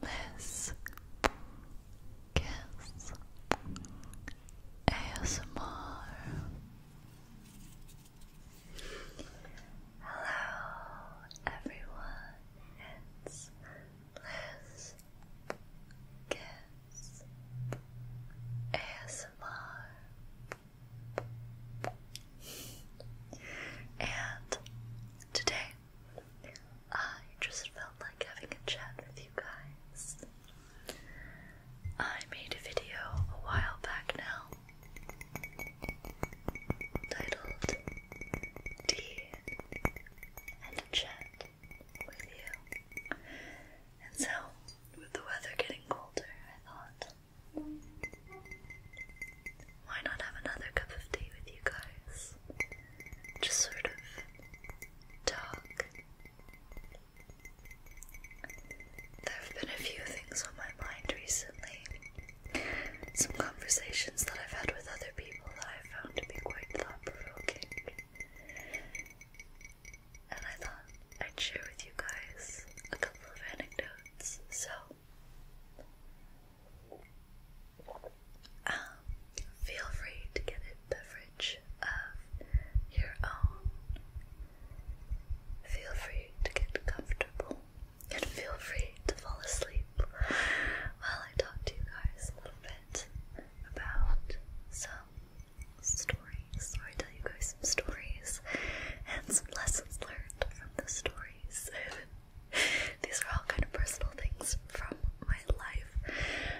This Kiss ASMR. Hello, everyone. It's Liz Kiss ASMR. And today I just felt like having a chat with you guys. I made a video a while back now titled Tea and a Chat with You. And so, with the weather getting colder, I thought why not have another cup of tea with you guys? Just sort of talk. There have been a few things on my mind recently. Some conversations that I've had with other people that i found to be quite thought provoking. And I thought I'd share with you guys a couple of anecdotes. So, um, feel free to get a beverage of your own. Feel free to get comfortable and feel free to fall asleep while I talk to you guys a little bit about some stories, or I tell you guys some stories and some lessons learned from the stories. These are all kind of personal things from my life.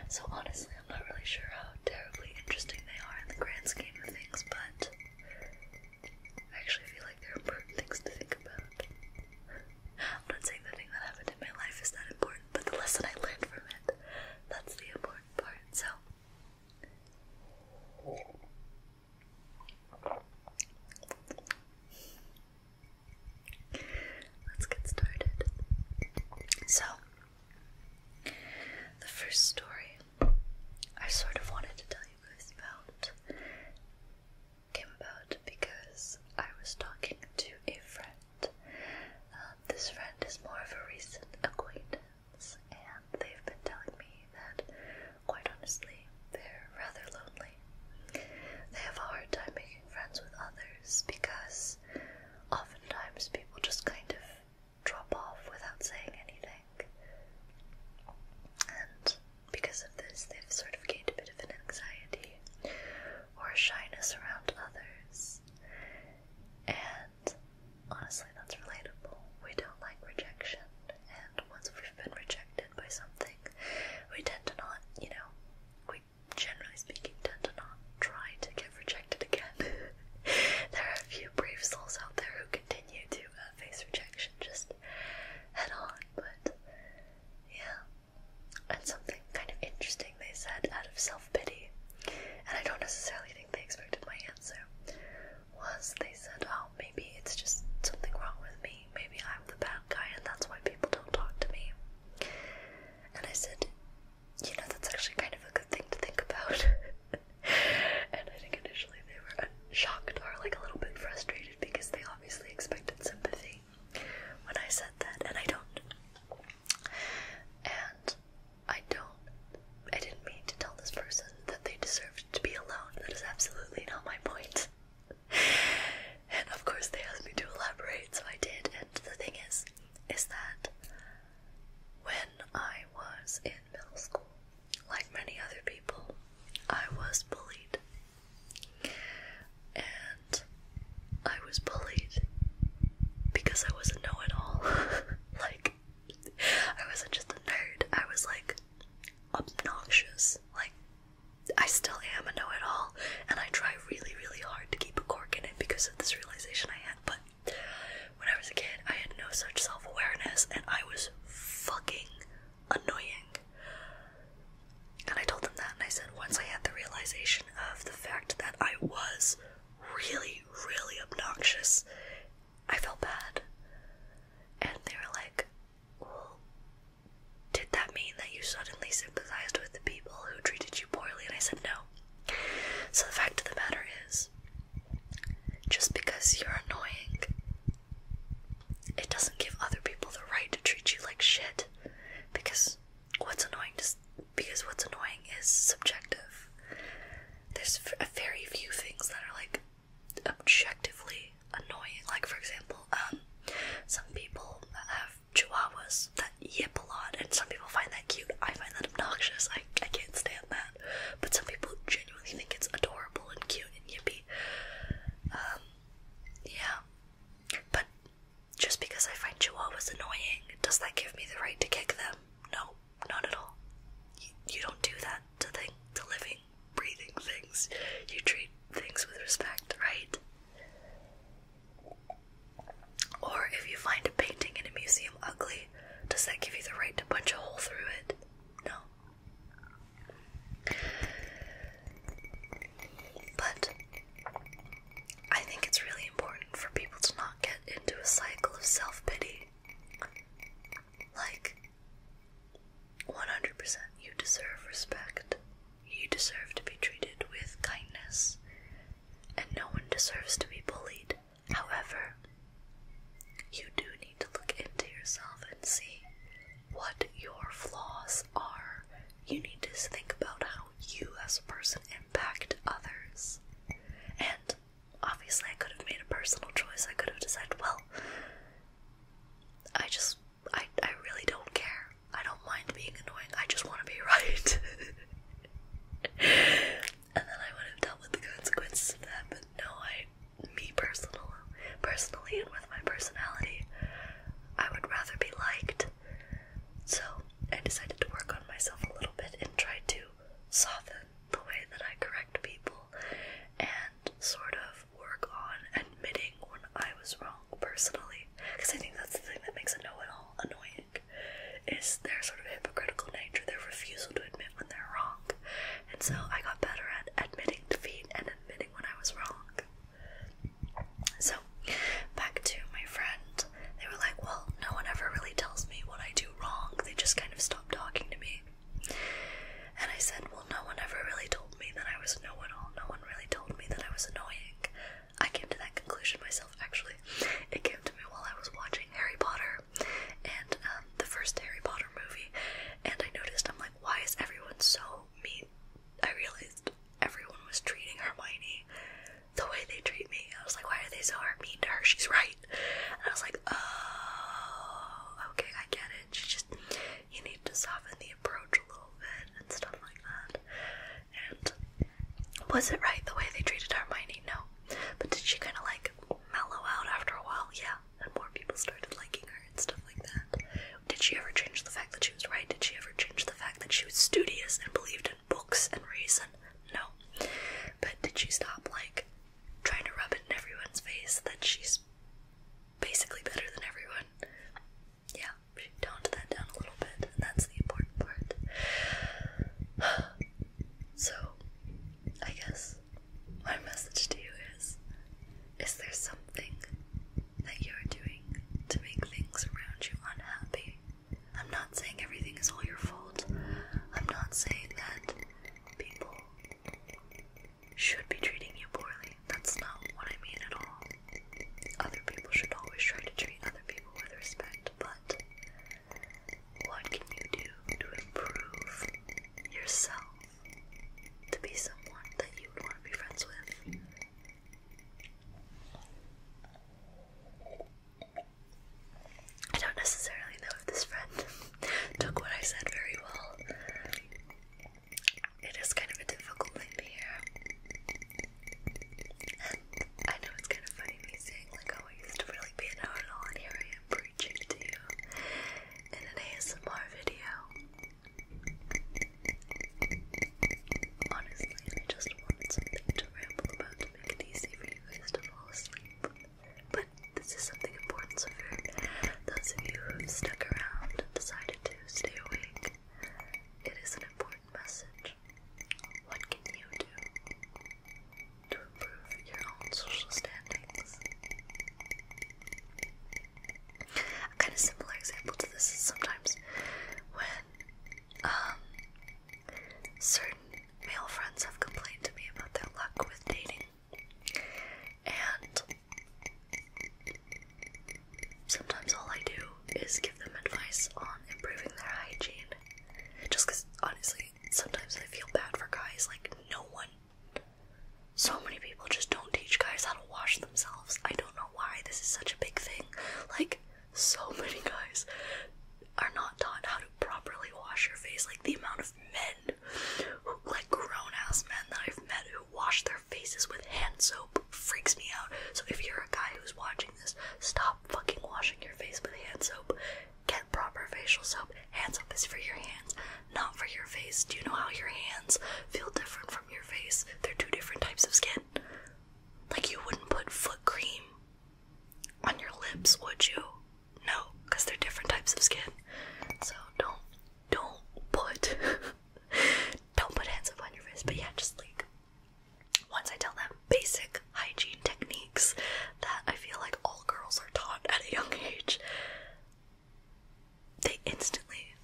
So honestly, I'm not really sure how terribly interesting they are in the grand scheme of things, but I actually feel like they're important things to think about. I'm not saying the thing that happened in my life is not important, but the lesson I learned from it, that's the important part. So Let's get started. So, the first story I sort of wanted to tell you guys about came about because I was talking to a friend. Um, this friend is more of a recent acquaintance, and they've been telling me that, quite honestly, they're rather lonely. They have a hard time making friends with others because oftentimes people just kind of drop off without saying anything. And because of this, they've sort of gained a bit of an anxiety or shyness around others. And honestly, that's relatable. We don't like rejection, and once we've been rejected, by something, we tend to not, you know, we generally speaking tend to not try to get rejected again. there are a few brave souls out there who continue to uh, face rejection just head on, but yeah. And something kind of interesting they said out of self pity, and I don't necessarily think they expected my answer, was they said, Oh, maybe it's just something wrong with me. Maybe I'm the bad guy and that's why people don't talk to me. And I said, you know, that's actually kind of a good thing to think about. and I think initially they were shocked or like a little bit frustrated because they obviously expected sympathy when I said that, and I don't. And I don't, I didn't mean to tell this person that they deserved to be alone. That is absolutely not my point and of course they asked me to elaborate, so I did. And the thing is, is that when I was in middle school, like many other people, I was bullied. And I was bullied because I was a know it all. like, I wasn't just a nerd, I was like obnoxious, like I still am a know it all, and I try really, really hard to keep a cork in it because of this realization I had. But when I was a kid, I had no such self awareness, and I was fucking annoying. And I told them that, and I said, once I had the realization of the fact that I was really, really obnoxious, I felt bad. And they were like, well, did that mean that you suddenly sympathized with the people who treated you poorly? And I said no. So the fact of the matter is, just because you're annoying, it doesn't give other people the right to treat you like shit. Because what's annoying just because what's annoying is subjective. There's a very few things that are like objectively annoying. Like for example, um, some people have chihuahuas that yip a lot, and some people find that cute. I find that obnoxious. I I can't stand that. But some people genuinely think it's adorable and cute and yippy. Um, yeah. But just because I find chihuahuas annoying, does that give me the right to kick them? No, not at all. You, don't do that to thing to living breathing things. You treat things with respect, right? Or if you find a painting in a museum ugly, does that give you the right to punch a hole through it? No. But I think it's really important for people to not get into a cycle of self pity. Like, 100% you deserve respect. You deserve to be treated with kindness, and no one deserves to be bullied. However, you do need to look into yourself and see what your flaws are. You need to think about how you as a person impact others. And obviously, I could have made a personal choice. I could have decided, well, I just I, I really don't care. I don't mind being annoying. I just want to be right. and then I would have dealt with the consequences of that. But no, I, me personal, personally, and with my personality, I would rather be liked. So I decided to work on myself a little bit and try to soften the way that I correct people and sort of work on admitting when I was wrong personally, because I think that's the thing that makes a know-it-all annoying, is their sort of hypocritical nature, their refusal to admit when they're wrong, and so I got better at admitting defeat and admitting when I was wrong. So, back to my friend, they were like, well, no one ever really tells me what I do wrong, they just kind of stop talking to me. And I said, Well, no one ever really told me that I was no one all. No one really told me that I was annoying. I came to that conclusion myself, actually. It came to me while I was watching Harry Potter and um, the first Harry Potter movie, and I noticed, I'm like, why is everyone so mean? I realized everyone was treating Hermione the way they treat me. I was like, why are they so mean to her? She's right. And I was like, oh, okay, I get it. She just, you need to soften the approach a little bit and stuff like that. And was it right the way they treated Hermione? No. But did she kind of like mellow out after a while? Yeah. And more people started liking her and stuff like that. Did she ever change the fact that she was right? Did she ever change the fact that she was studious and believed in books and reason? No. But did she stop like trying to rub it in everyone's face that she's basically better than everyone. Yeah, she toned that down a little bit, and that's the important part. So, I guess my message to you is Is there something that you are doing to make things around you unhappy? I'm not saying everything is all your fault, I'm not saying that people should be treating you poorly. That's not what I mean at all. Other people should always try to treat other people with respect, but what can you do to improve yourself to be someone that you would want to be friends with? I don't necessarily know if this friend took what I said very well it is kind of a difficult thing to I know it's kind of funny me saying like, oh, I used to really be an all and here preaching to you in an ASMR video. Honestly, I just wanted something to ramble about to make it easy for you guys to fall asleep. But this is something important, so if those of you who have stuck around and decided to stay awake, it is an important message. What can you do to improve your own social standings? A kind of similar example to this is sometimes when um, certain male friends have complained to me about their luck with dating. And Sometimes all I do is give them advice on improving their hygiene. Just because, honestly, sometimes I feel bad for guys. Like, no one. So many people just don't teach guys how to wash themselves. I don't know why this is such a big thing. Like, so many guys are not taught how to properly wash your face. Like, the amount of men, like grown ass men that I've met who wash their faces with hand soap freaks me out. So if you're a guy who's watching this, stop fucking washing your face with hand soap. Get proper facial soap. Hand soap is for your hands, not for your face. Do you know how your hands feel different from your face? They're two different types of skin. Like you wouldn't put foot cream on your lips, would you? No, because they're different types of skin. So don't don't put don't put hands up on your face. but yeah, just like once I tell them basic hygiene techniques that I feel like all girls are taught at a young age, they instantly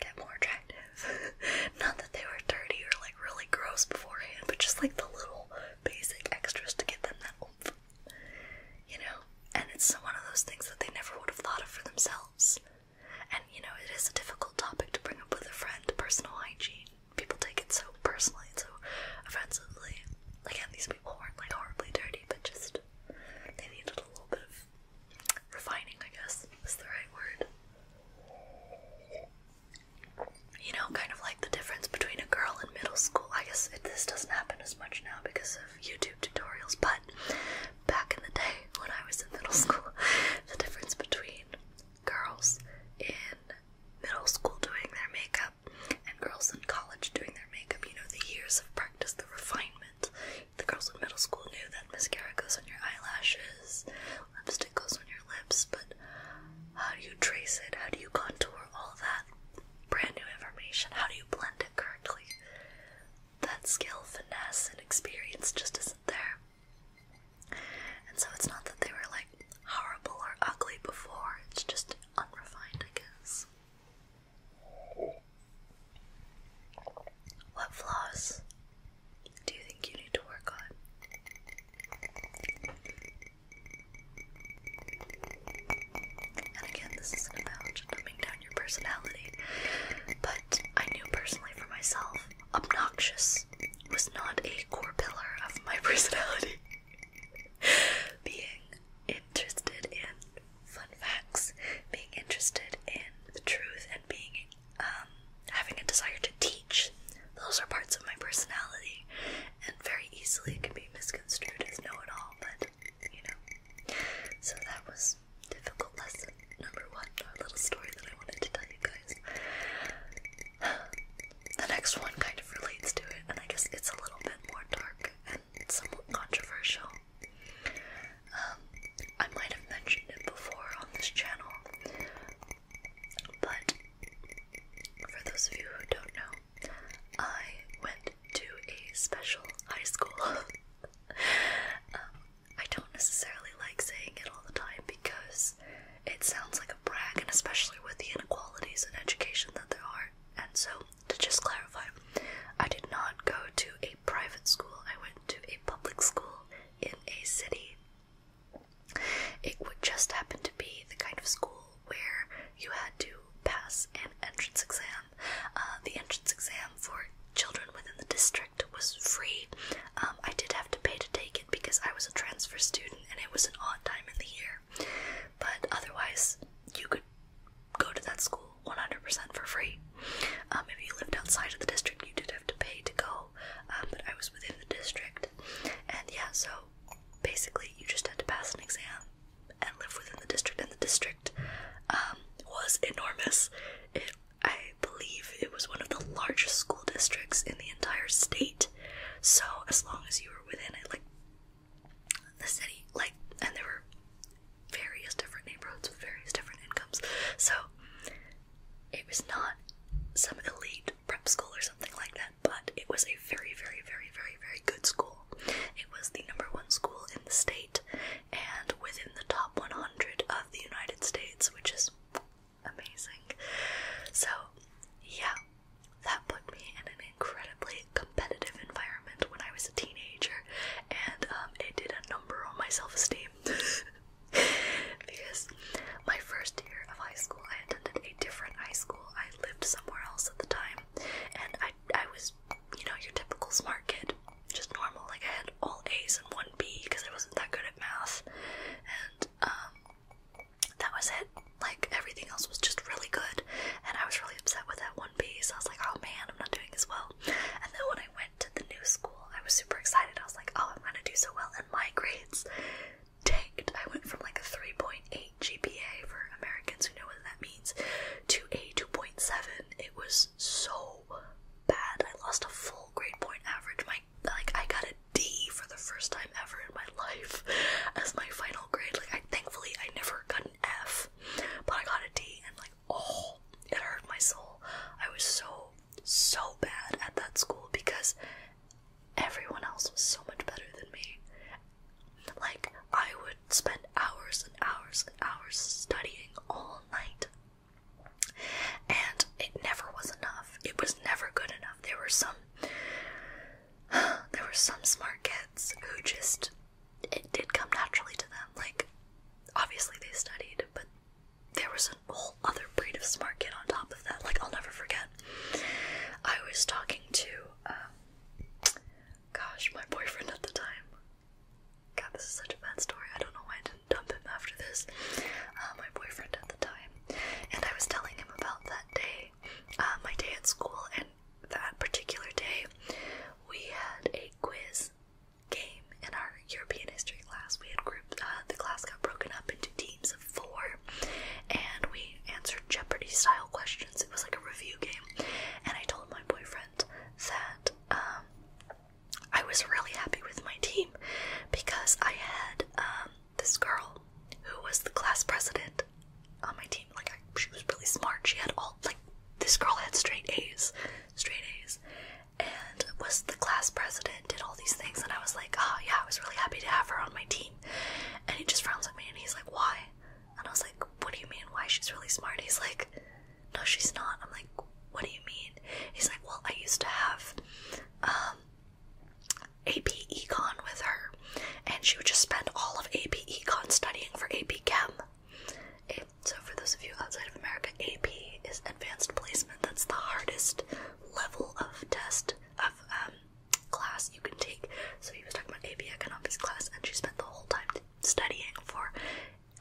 get more attractive. Not that they were dirty or like really gross beforehand, but just like the little basic extras to get them that oomph. You know? and it's one of those things that they never would have thought of for themselves. And you know, it is a difficult topic to bring up with a friend, personal hygiene. People take it so personally, so offensively. Again, these people weren't like horribly dirty, but just they needed a little bit of refining, I guess, is the right word. You know, kind of like the difference between a girl in middle school. I guess it, this doesn't happen as much now because YouTube tutorials, but back in the day when I was in middle school, the difference between girls in middle school doing their makeup and girls in college doing their makeup, you know, the years of practice, the refinement. The girls in middle school knew that mascara goes on your eyelashes, lipstick goes on your lips, but how do you trace it? How do you contour all that brand new information? How do you blend it correctly? that skill, finesse, and experience just isn't there. And so it's not that they were like horrible or ugly before, it's just unrefined, I guess. What flaws do you think you need to work on? And again, this isn't about dumbing down your personality, but I knew personally for myself, obnoxious was not a core pillar of my personality. Being interested in fun facts, being interested in the truth, and being um, having a desire to teach, those are parts of my personality, and very easily it can be misconstrued as know it all, but you know, so that was difficult lesson number one, our little story that I wanted to tell you guys. The next one kind of relates to it, and I guess it's a little bit more dark and somewhat controversial. Um, I might have mentioned it before on this channel, but for those of you who don't know, I went to a special high school. Um, I don't necessarily like saying it all the time because it sounds like a brag, and especially with the inequalities in education that there are. And so, to just clarify, I did not go to a private school, I went to a public school in a city. It would just happen to be the kind of school where you had to pass an entrance exam exam. Uh, the entrance exam for children within the district was free. Um, I did have to pay to take it because I was a transfer student and it was an odd time in the year. But otherwise, you could go to that school 100% for free. Um, if you lived outside of the district, you did have to pay to go, um, but I was within the district. And yeah, so basically, you just had to pass an exam and lived within the district, and the district um, was enormous. It, I believe it was one of the largest school districts in the entire state. So as long as you were within it, like the city, like, and there were various different neighborhoods with various different incomes. So it was not some elite prep school or something like that, but it was a very, very, very, very, very good school. It was the number one school in the state and within the top 100 of the United States, which is amazing. So, yeah, that put me in an incredibly competitive environment when I was a teenager, and um, it did a number on my self esteem. because my first year of high school, I attended a different high school. I lived somewhere else at the time, and I I was you know, your typical smart kid. Just normal. Like I had all A's and one B because I wasn't that good at math. And um, that was it. Like everything else was just really good. And I was really upset with that one B, so I was like, oh man, I'm not doing as well. And then when I went to the new school, I was super excited. I was like, oh I'm gonna do so well and my grades tanked. I went from like a 3.8 GPA for Americans who know what that means to a 2.7. It was so bad. I lost a full grade point average. My like I got a D for the first time ever in my life as my final grade. Like thankfully I never got an F, but I got a D and like oh it hurt my soul. I was so so bad at that school because everyone else was so much better than me. Like I would would spend hours and hours and hours studying all night. And it never was enough. It was never good enough. There were some there were some smart kids who just it did come naturally to them. Like obviously they studied, but there was a whole other breed of smart kid on top of that. Like I'll never forget. I was talking to um, Gosh, my boyfriend at the time. God, this is such a bad story. I don't know why I didn't dump him after this. Uh, my boyfriend at the time. And I was telling him about that day, uh, my day at school, and that particular day, we had a quiz game in our European history class. We had grouped, uh, the class got broken up into teams of four, and we answered Jeopardy style questions it was like a review game, and I told my boyfriend that um, I was really happy with my team because I had um, this girl who was the class president on my team. Like she was really smart. She had all like this girl had straight A's, straight A's, and was the class president. Did all these things, and I was like, oh yeah, I was really happy to have her on my team. And he just frowns at me, and he's like, why? And I was like, what do you mean? Why? She's really smart. He's like, no, she's not. I'm like, what do you mean? He's like, well, I used to have um, AP Econ with her, and she would just spend all of AP Econ studying for AP Chem. so, for those of you outside of America, AP is advanced placement. That's the hardest level of test of um, class you can take. So, he was talking about AP Economics class, and she spent the whole time studying for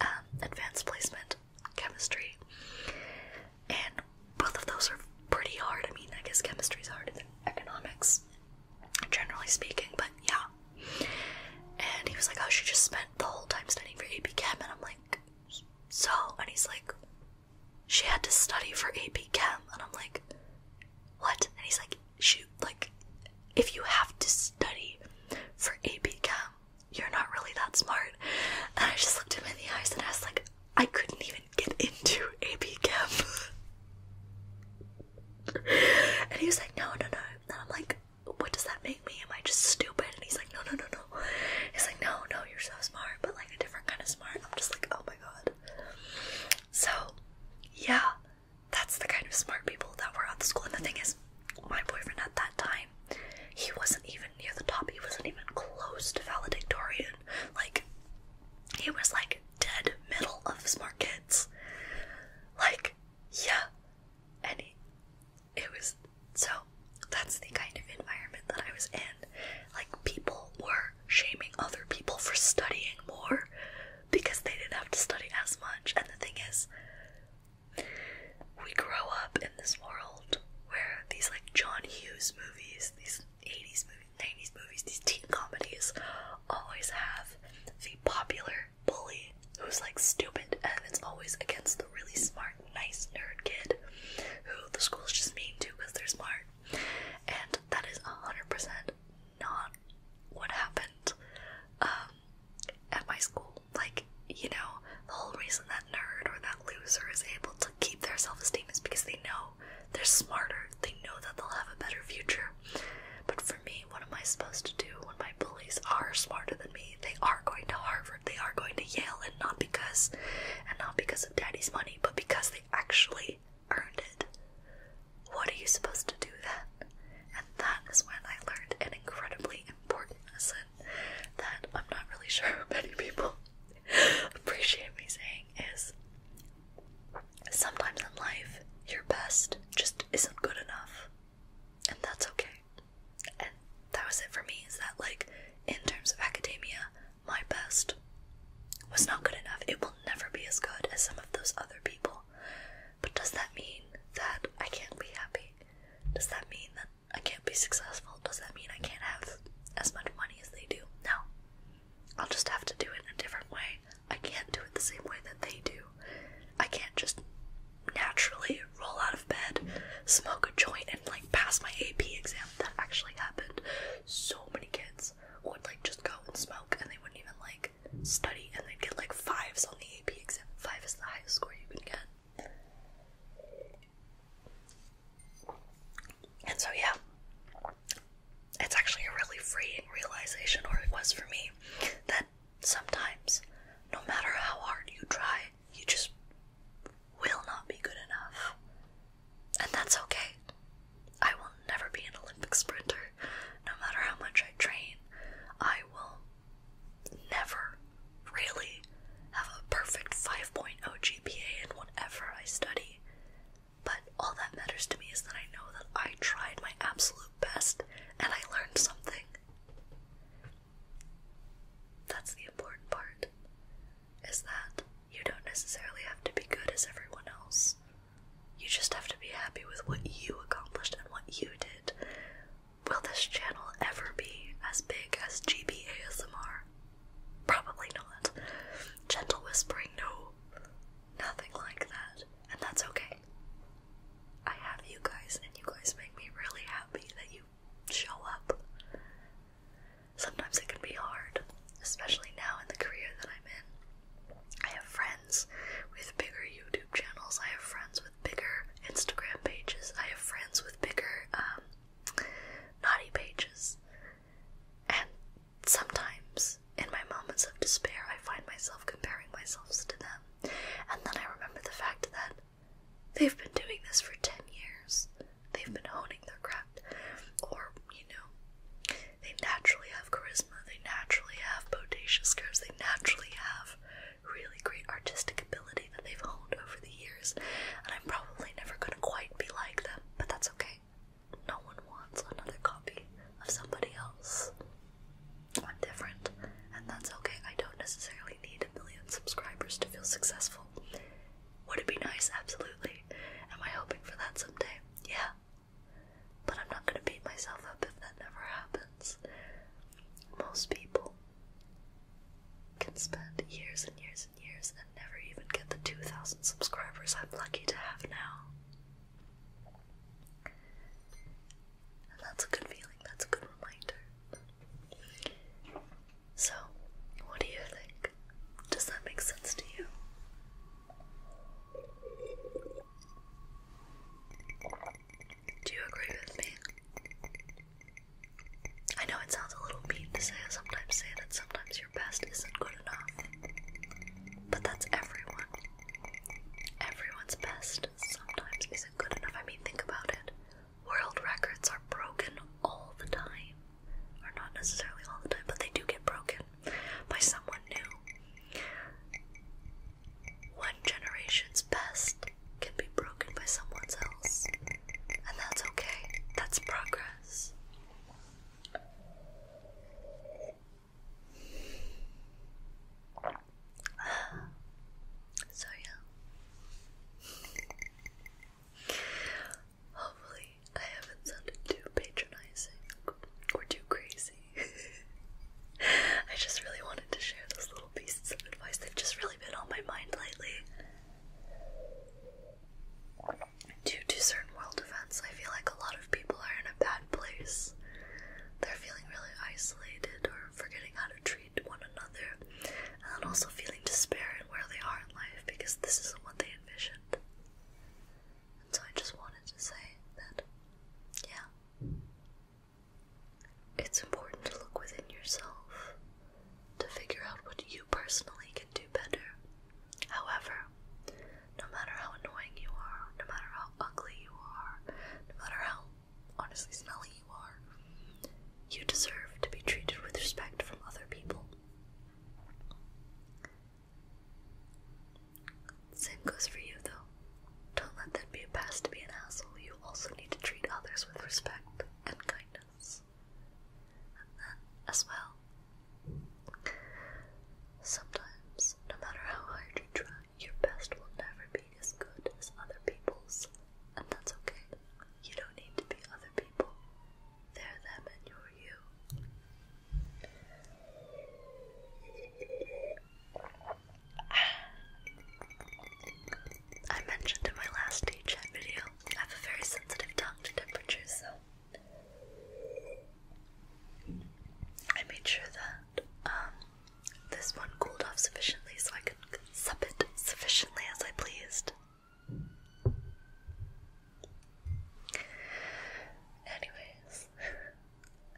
um, advanced placement chemistry, and both of those are pretty hard. I mean, I guess chemistry's harder than economics, generally speaking, but yeah. And he was like, "Oh, she just spent the whole time studying for AP Chem," and I'm like, "So?" And he's like, "She had to study for AP Chem," and I'm like, "What?" And he's like, shoot like if you have to study for AP Chem, you're not really that smart. And I just looked him in the eyes and I was like, I couldn't even get into AP Chem. and he was like, No, no, no. And I'm like, What does that make me? Am I just stupid? And he's like, No, no, no, no. He's like, No, no, you're so smart, but like a different kind of smart. I'm just like, Oh my god. So, yeah, that's the kind of smart people that were at the school. And the thing is, my boyfriend at that time, he wasn't even near the top. He wasn't even close to valedictorian. Like, he was like dead middle of smart kids. Like, yeah. And he, it was so that's the kind of environment that I was in. Like, people were shaming other people for studying more because they didn't have to study as much. And the thing is, we grow up in this world where these like John Hughes movies, these 80s movies, 90s movies, these teen comedies always have the popular bully who's like stupid and it's always against the really smart, nice nerd kid who the school's just mean to because they're smart. And that is 100% not what happened um, at my school. Like, you know, the whole reason that nerd or that loser is able to keep their self esteem is because they know they're smarter, they know that they'll have a better future. But for me, what am I supposed to do when my bullies are smarter than me? They are going to Harvard, they are going to Yale, and not because and not because of daddy's money, but because they actually earned it. What are you supposed to do then? And that is when I learned an incredibly important lesson that I'm not really sure many people appreciate me saying is sometimes in life your best just isn't good enough. And that's okay. And that was it for me, is that like in terms of academia, my best was not good enough. It will never be as good as some of those other people. But does that mean that I can't be happy? Does that mean that I can't be successful? Does that mean I can't have as much money as they do? No. I'll just have to do it in a different way. I can't do it the same way that they do. I can't just naturally roll out of bed, smoke a joint, and like pass my AP exam. That actually happened. So many kids would like just go and smoke and they wouldn't even like study and they get like fives on the AP exam. Five is the highest score you can get. And so yeah. It's actually a really freeing realization, or it was for me, that sometimes, no matter how hard you try, you just will not be good enough. And that's okay. I will never be an Olympic sprinter. No matter how much I train, I will never really have a perfect 5.0 GPA in whatever I study. But all that matters to me is that I know that I tried my absolute best and I learned something. That's the important part, is that you don't necessarily have to be good as everyone else you just have to be happy with what you accomplished and what you did. Will this channel ever be as big as GB ASMR? Probably not. Gentle whispering, no. Nothing like that. And that's okay. I have you guys, and you guys make me really happy that you show up. Sometimes it can be hard, especially now in the career that I'm in. I have friends with bigger YouTube channels. I have friends with bigger Instagram pages. I have friends with bigger um, naughty pages. And sometimes, in my moments of despair, I find myself comparing myself to them. And then I remember the fact that they've been doing this for 10 years. They've been honing their craft. Or, you know, they naturally have charisma, they naturally have bodacious curves, they naturally have really great artistic ability that they've honed over the years. And I'm probably never gonna quite be like them, but that's okay. No one wants another copy of somebody else. I'm different, and that's okay. I don't necessarily need a million subscribers to feel successful. Would it be nice? Absolutely. Am I hoping for that someday? Yeah, but I'm not going to beat myself up if that never happens. Most people can spend years and years and years and never even get the 2,000 subscribers I'm lucky to have now. And that's a good feeling, that's a good reminder. So, what do you think? Does that make sense to you? Do you agree with me? I know it sounds a little mean to say sometimes say that sometimes your best isn't good enough. But that's everyone. Everyone's best sometimes isn't good enough. I mean think about it. World records are broken all the time. Or not necessarily all the time, but they do get broken by someone new. One generation's best can be broken by someone else, and that's okay. That's progress. So, yeah. Hopefully, I haven't sounded too patronizing or too crazy. I just really wanted to share those little pieces of advice. They've just really been on my mind lately. Due to certain world events, I feel like a lot of people are in a bad place. They're feeling really isolated or forgetting how to treat one another, and also feeling despair in where they are in life because this isn't what they envisioned. And so I just wanted to say that, yeah, it's important to look within yourself to figure out what you personally can do better. However, no matter how annoying you are, no matter how ugly you are, no matter how honestly smelly you are, you deserve to be treated with respect from other people. Same goes for you, though. Don't let that be a pass to be an asshole. You also need to treat others with respect and kindness. And then, as well, sometimes, no matter how hard you try, your best will never be as good as other people's, and that's okay. You don't need to be other people, they them and you I mentioned in my last tea chat video, I have a very sensitive tongue to temperatures, so I made sure that um, this one cooled off sufficiently so I could sup it sufficiently as I pleased. Anyways,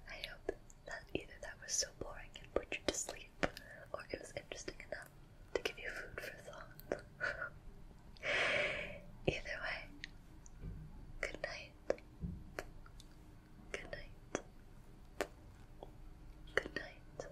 I hope that either that was so boring and put you to sleep, or it was interesting enough to give you food for thought. either way, good night. Good night. Good night.